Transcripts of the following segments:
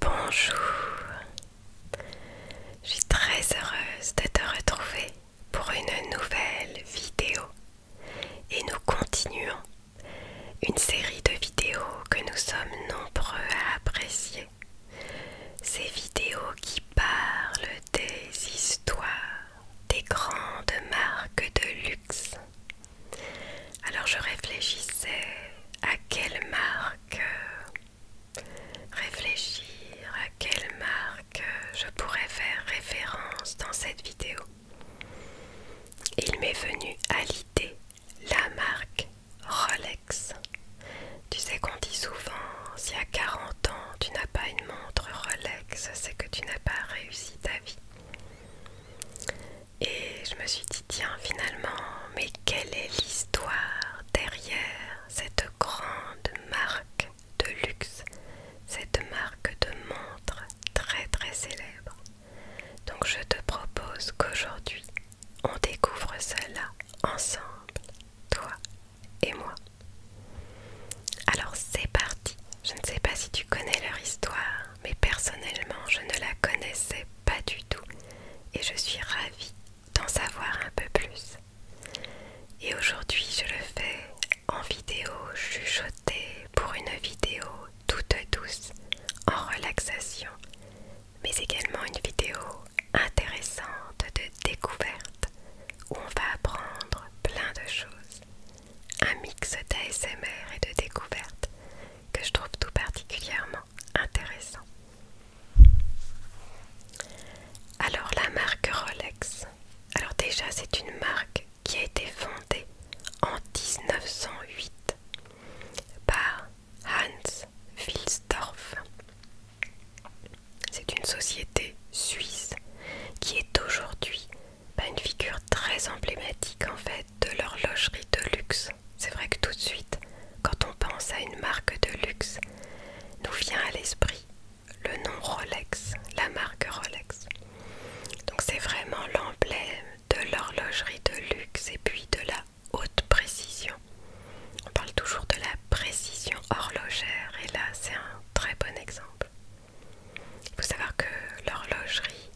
Bonjour, je suis très heureuse de te retrouver pour une nouvelle vidéo et nous continuons une série de vidéos que nous sommes nombreux à apprécier. Ces vidéos qui parlent des histoires des grandes marques de luxe alors je réfléchissais à quelle marque euh, réfléchir, à quelle marque euh, je pourrais faire référence dans cette vidéo. Il m'est venu à l'idée la marque Rolex. Tu sais qu'on dit souvent, si à 40 ans, tu n'as pas une montre Rolex, c'est que tu n'as pas réussi ta vie. Et je me suis dit, tiens, finalement, mais quelle est l'histoire derrière cette grande marque de luxe, cette marque de montre très très célèbre Donc je te propose qu'aujourd'hui, on découvre cela ensemble, toi et moi. Alors c'est parti. Je ne sais pas si tu connais leur histoire, mais personnellement je ne la connaissais pas du tout et je suis ravie d'en savoir un peu plus. Et aujourd'hui je le fais en vidéo chuchotée pour une vidéo toute douce, en relaxation, mais également une vidéo intéressante de découverte où on va apprendre plein de choses. Un mix d'ASMR et de découverte que je trouve tout particulièrement intéressant. Alors la marque Rolex. Alors déjà c'est une marque qui a été fondée en 1908 par Hans Wilsdorf. C'est une société suisse qui est aujourd'hui une figure très emblématique en fait de l'horlogerie de luxe. C'est vrai que tout de suite, quand on pense à une marque de luxe, nous vient à l'esprit le nom Rolex, la marque Rolex. Donc c'est vraiment l'emblème de l'horlogerie de luxe et puis de la haute précision. On parle toujours de la précision horlogère et là c'est un très bon exemple. Il faut savoir que l'horlogerie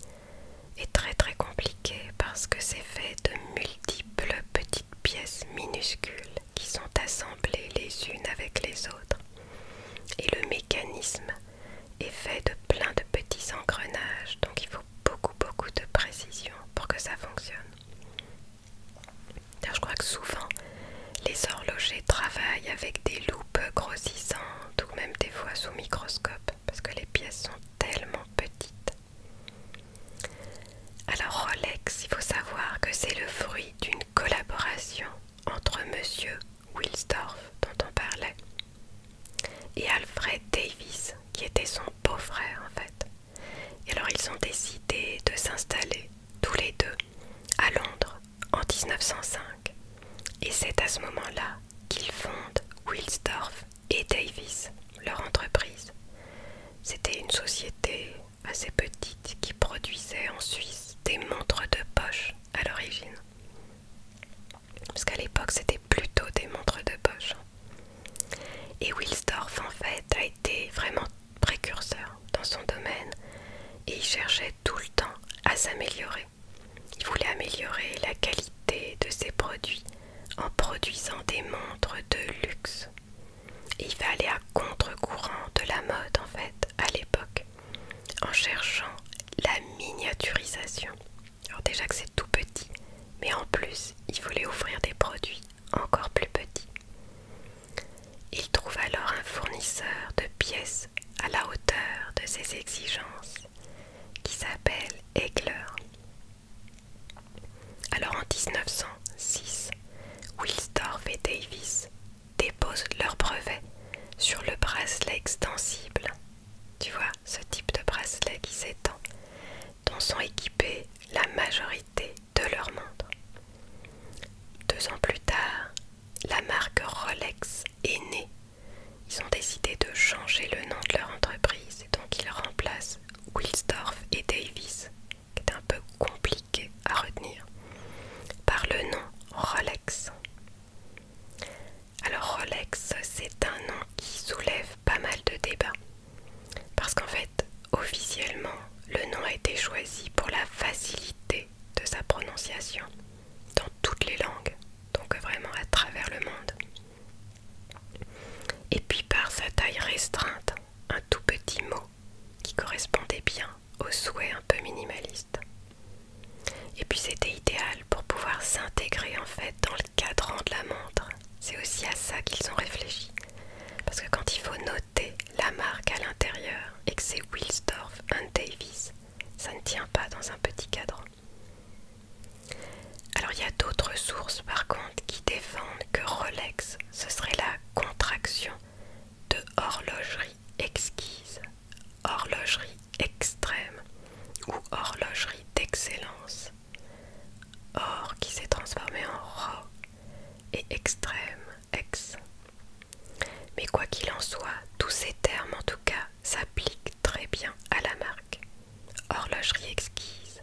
est très très compliqué parce que c'est fait de multiples petites pièces minuscules qui sont assemblées les unes avec les autres. Et le mécanisme est fait de plein de petits engrenages, donc il faut beaucoup beaucoup de précision pour que ça fonctionne. je crois que souvent les horlogers travaillent avec des loupes grossissantes ou même des fois sous microscope parce que les pièces sont tellement petites. Alors Rolex, il faut savoir que c'est le fruit d'une collaboration entre Monsieur Wilsdorf, dont on parlait, et Alfred Davis, qui était son beau-frère en fait. Et alors ils ont décidé de s'installer tous les deux à Londres en 1905. Et c'est à ce moment-là qu'ils fondent Wilsdorf et Davis, leur entreprise. C'était une société assez petite qui produisait en Suisse des montres de poche à l'origine. Parce qu'à l'époque, c'était plutôt des montres de poche. Et Wilsdorf, en fait, a été vraiment précurseur dans son domaine et il cherchait tout le temps à s'améliorer. Il voulait améliorer la qualité de ses produits en produisant des montres de luxe. il va aller à contre-courant de la mode en fait à l'époque en cherchant la miniaturisation. Alors déjà que c'est tout petit, mais en plus il voulait offrir des produits encore plus petits. Il trouve alors un fournisseur de pièces à la hauteur de ses exigences qui s'appelle Egler. Alors en 1906, Wilsdorf et Davis déposent leur brevet sur le bracelet extensible. Tu vois, ce type de bracelet qui s'étend, dont sont équipés la majorité de leurs montres. Deux ans plus tard, la marque Rolex est née. Ils ont décidé de changer le nom de leur entreprise et donc ils remplacent Wilsdorf et Davis, qui est un peu compliqué à retenir, par le nom Rolex. Alors Rolex, c'est un nom qui soulève pas mal de débats. Parce qu'en fait, officiellement, le nom a été choisi pour la facilité de sa prononciation dans toutes les langues donc vraiment à travers le monde. Et puis par sa taille restreinte, un tout petit mot qui correspondait bien au souhait un peu minimaliste. Et puis c'était idéal pour pouvoir s'intégrer en fait dans le cadran de la montre. C'est aussi à ça qu'ils ont réfléchi. Parce que quand il faut noter la marque à l'intérieur et que c'est Wilsdorf Davis, ça ne tient pas dans un petit cadran. Alors il y a d'autres sources par contre qui défendent que Rolex, ce serait la contraction de horlogerie exquise, horlogerie extrême ou horlogerie d'excellence. Or qui s'est transformé en ro et extrême ex. Mais quoi qu'il en soit, tous ces termes en tout cas s'appliquent très bien à la marque. Horlogerie exquise,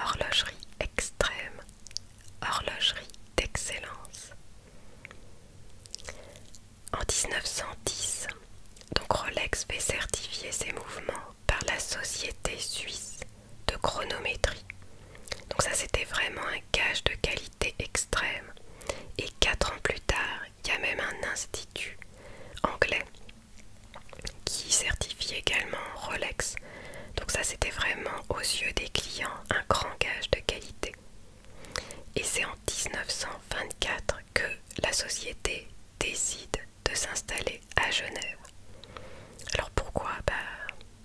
horlogerie extrême, horlogerie d'excellence. En 1910, donc Rolex fait certifier ses mouvements par la Société suisse de chronométrie. Donc ça c'était vraiment un gage de qualité extrême. Et quatre ans plus tard, il y a même un institut anglais qui certifie également Rolex. Donc ça c'était vraiment aux yeux des clients un grand gage de qualité. Et c'est en 1924 que la société décide de s'installer à Genève. Alors pourquoi bah,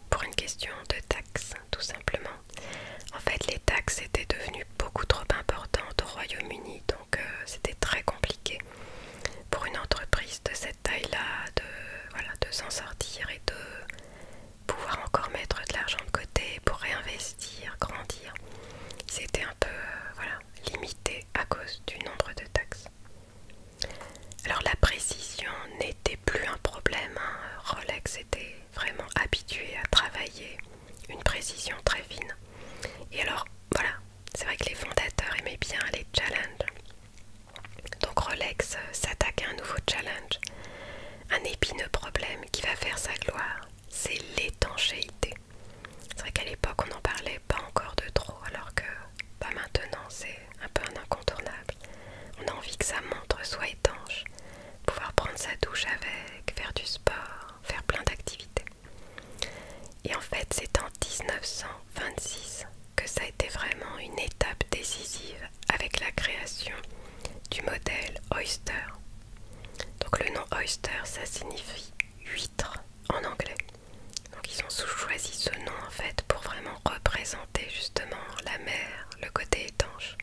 Pour une question de taxe tout simplement. En fait, les taxes étaient devenues beaucoup trop importantes au Royaume-Uni, donc euh, c'était très compliqué pour une entreprise de cette taille-là de, s'en sortir et de pouvoir encore mettre de l'argent de côté pour réinvestir, grandir. C'était un peu euh, limité à cause du nombre de taxes. Alors la précision n'était plus un problème, hein. Rolex était vraiment habitué à travailler une précision très fine. Et alors, voilà, c'est vrai que les fondateurs aimaient bien les challenges. Donc Rolex euh, s'attaque à un nouveau challenge, un épineux problème qui va faire sa gloire, c'est l'étanchéité. C'est vrai qu'à l'époque on n'en parlait pas encore de trop, alors que pas bah, maintenant c'est un peu un incontournable. On a envie que sa montre soit pouvoir prendre sa douche avec, faire du sport, faire plein d'activités. Et en fait, c'est en 1926 que ça a été vraiment une étape décisive avec la création du modèle Oyster. Donc le nom Oyster, ça signifie huître en anglais. Donc ils ont choisi ce nom en fait pour vraiment représenter justement la mer, le côté étanche.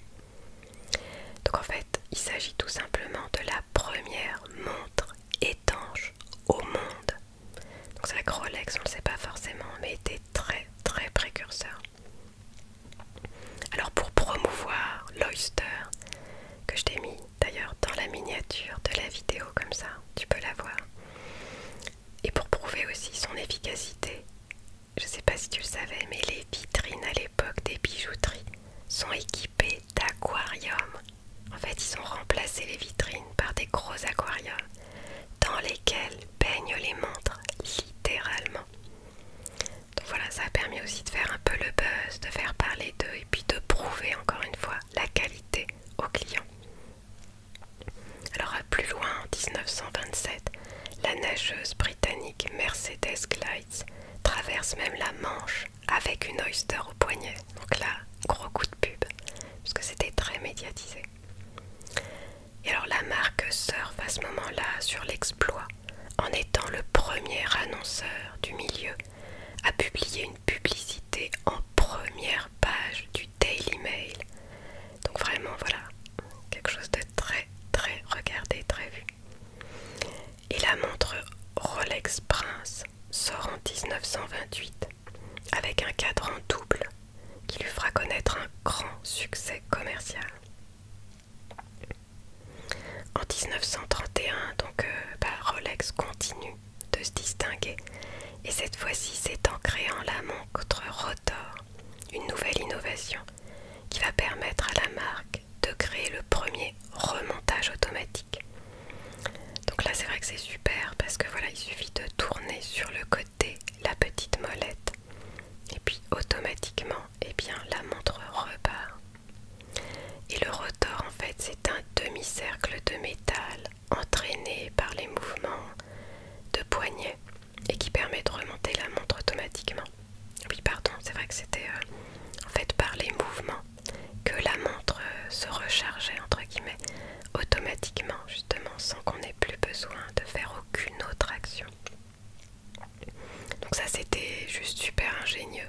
Donc en fait, il s'agit tout simplement de la première montre étanche au monde. Donc c'est la Rolex, on ne le sait pas forcément, mais était très très précurseur. Alors pour promouvoir l'Oyster, que je t'ai mis d'ailleurs dans la miniature de la vidéo comme ça, tu peux la voir. Et pour prouver aussi son efficacité, je sais pas si tu le savais, mais les vitrines à l'époque des bijouteries sont équipées d'aquariums. En fait, ils ont remplacé les vitrines par des gros aquariums dans lesquels baignent les montres, littéralement. Donc voilà, ça a permis aussi de faire un peu le buzz, de faire parler d'eux et puis de prouver encore une fois la qualité aux clients. Alors plus loin, en 1927, la nageuse britannique Mercedes Glides traverse même la Manche avec une Oyster au poignet. Donc là, gros coup de pub, parce que c'était très médiatisé. Et alors la marque surfe à ce moment-là sur l'exploit en étant le premier annonceur du milieu à publier une publicité en première page du Daily Mail. Donc vraiment voilà, quelque chose de très très regardé, très vu. Et la montre Rolex Prince sort en 1928 avec un cadran double qui lui fera connaître un grand succès commercial. En 1931, donc euh, bah, Rolex continue de se distinguer et cette fois-ci c'est en créant la montre une nouvelle innovation qui va permettre à la marque de créer le premier remontage automatique. Donc là c'est vrai que c'est super parce que voilà il suffit de tourner sur le côté la petite molette et puis automatiquement et eh bien, la montre repart. Et le rotor en fait c'est un demi-cercle de métal entraîné par les mouvements de poignet et qui permet de remonter la montre automatiquement. Oui, pardon, c'est vrai que c'était euh, en fait par les mouvements que la montre euh, se rechargeait entre guillemets automatiquement, justement, sans qu'on ait plus besoin de faire aucune autre action. Donc ça c'était juste super ingénieux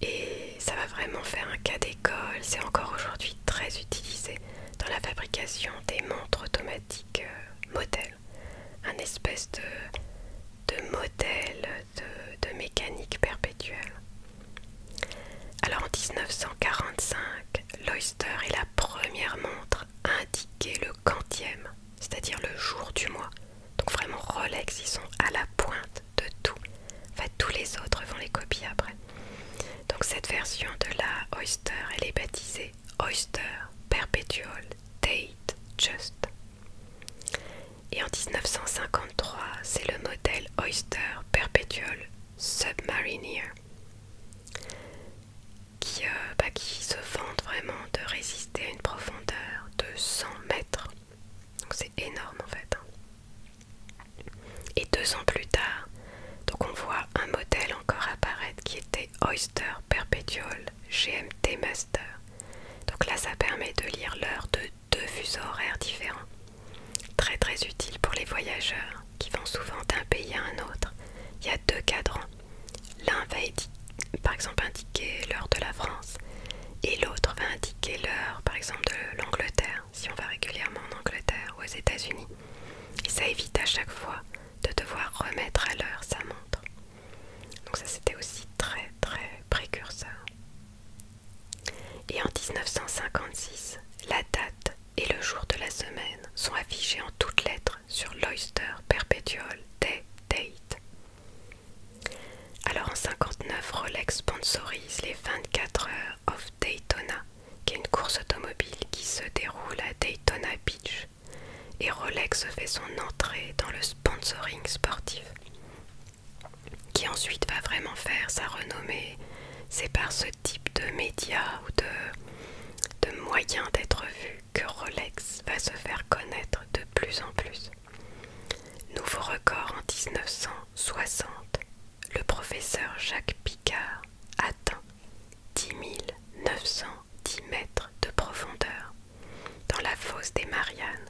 et ça va vraiment faire un cas d'école. C'est encore aujourd'hui très utilisé dans la fabrication des montres automatiques euh, modèles un espèce de, modèle de, de mécanique perpétuelle. Alors en 1945, l'Oyster est la première montre à indiquer le quantième, c'est-à-dire le jour du mois. Donc vraiment Rolex, ils sont à la pointe de tout. Enfin tous les autres vont les copier après. Donc cette version de la Oyster, elle est baptisée Oyster, Perpetual, Date Just. Et en 1953, c'est le modèle Oyster Perpetual Submarineer qui, euh, bah, qui se vante vraiment de résister à une profondeur de 100 mètres. Donc c'est énorme en fait. Hein. Et deux ans plus tard, donc on voit un modèle encore apparaître qui était Oyster Perpetual, GMT Master. Donc là, ça permet de lire l'heure de deux fuseaux horaires différents. Très très utile pour les voyageurs qui vont souvent d'un pays à un autre. Il y a deux cadrans. L'un va par exemple indiquer l'heure de la France et l'autre va indiquer l'heure par exemple de l'Angleterre si on va régulièrement en Angleterre ou aux États-Unis. Et ça évite à chaque fois de devoir remettre à l'heure sa montre. Donc ça c'était aussi très très précurseur. Et en 1956, la date et le jour de la semaine sont affichés en toutes lettres sur l'Oyster Perpetual Day Date. Alors en 59, Rolex sponsorise les 24 heures of Daytona, qui est une course automobile qui se déroule à Daytona Beach et Rolex fait son entrée dans le sponsoring sportif qui ensuite va vraiment faire sa renommée. C'est par ce type de médias ou de, de moyens d'être vu que Rolex va se faire connaître de plus en plus. Nouveau record en 1960, le professeur Jacques Picard atteint 10 910 mètres de profondeur dans la fosse des Mariannes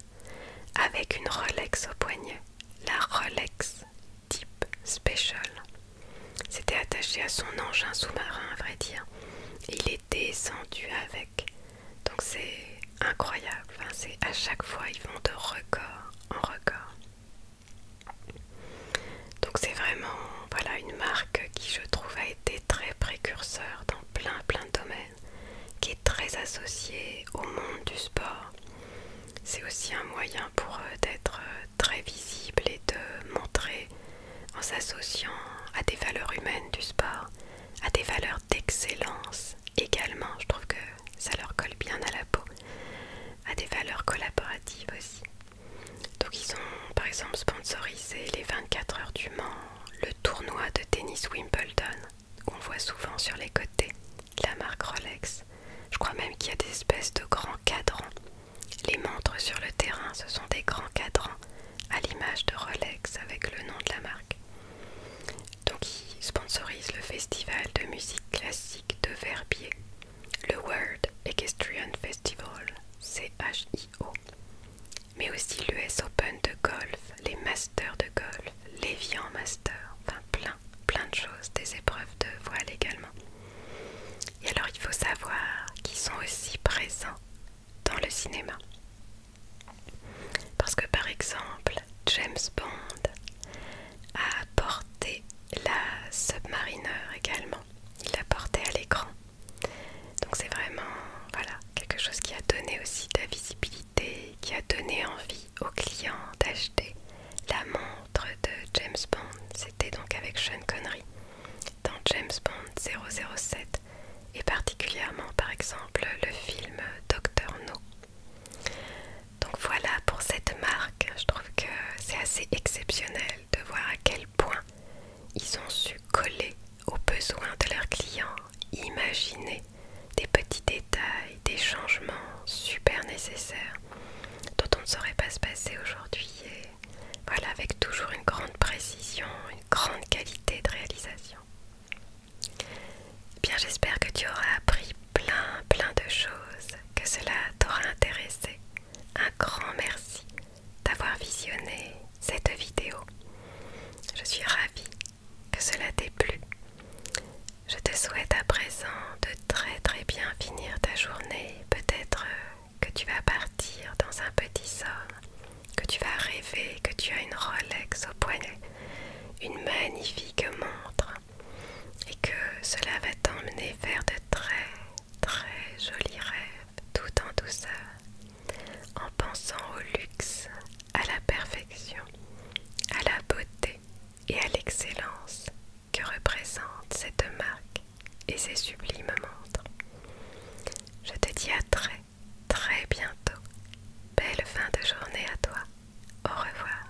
avec une Rolex au poignet, la Rolex Type Special. C'était attaché à son engin sous-marin, à vrai dire. Il est descendu avec. Donc c'est incroyable. à chaque fois, ils vont de record en record. Donc c'est vraiment voilà une marque qui je trouve a été très précurseur dans plein plein de domaines, qui est très associée au monde du sport. C'est aussi un moyen pour eux d'être euh, très visible et de montrer en s'associant à des valeurs humaines du sport, à des valeurs d'excellence également, je trouve que ça leur colle bien à la peau, à des valeurs collaboratives aussi. Donc ils ont par exemple sponsorisé les 24 heures du Mans, le tournoi de tennis Wimbledon, qu'on voit souvent sur les côtés la marque Rolex. Je crois même qu'il y a des espèces de grands cadrans. Les montres sur le terrain, ce sont des grands cadrans à l'image de Rolex avec le nom de la marque. Donc ils sponsorisent le festival de musique classique de Verbier le World Equestrian Festival, O, mais aussi l'US Open de golf, les Masters de golf, les Vian Masters, enfin plein, plein de choses, des épreuves de voile également. Et alors il faut savoir qu'ils sont aussi présents dans le cinéma. Parce que par exemple, James Bond a porté la Submariner également il l'a porté à l'écran. Donc c'est vraiment voilà, quelque chose qui a donné aussi de la visibilité, qui a donné envie aux clients d'acheter la montre de James Bond. C'était donc avec Sean Connery dans James Bond 007 et particulièrement par exemple le film Doctor No. Donc voilà pour cette marque, je trouve que c'est assez exceptionnel de voir à quel point ils ont su coller aux besoins de leurs clients, imaginer des petits détails, des changements super nécessaires dont on ne saurait pas se passer aujourd'hui. Et voilà, avec toujours une grande précision, une grande qualité de réalisation. Eh bien, j'espère que tu auras appris plein, plein de choses, que cela t'aura intéressé un grand merci d'avoir visionné cette vidéo. Je suis ravie que cela t'ait plu. Je te souhaite à présent de très très bien finir ta journée. Peut-être euh, que tu vas partir dans un petit somme, que tu vas rêver que tu as une Rolex au poignet, une magnifique montre et que cela va t'emmener vers de très très jolis rêves tout en douceur en pensant au luxe, à la perfection, à la beauté et à l'excellence que représente cette marque et ses sublimes montres. Je te dis à très très bientôt. Belle fin de journée à toi. Au revoir.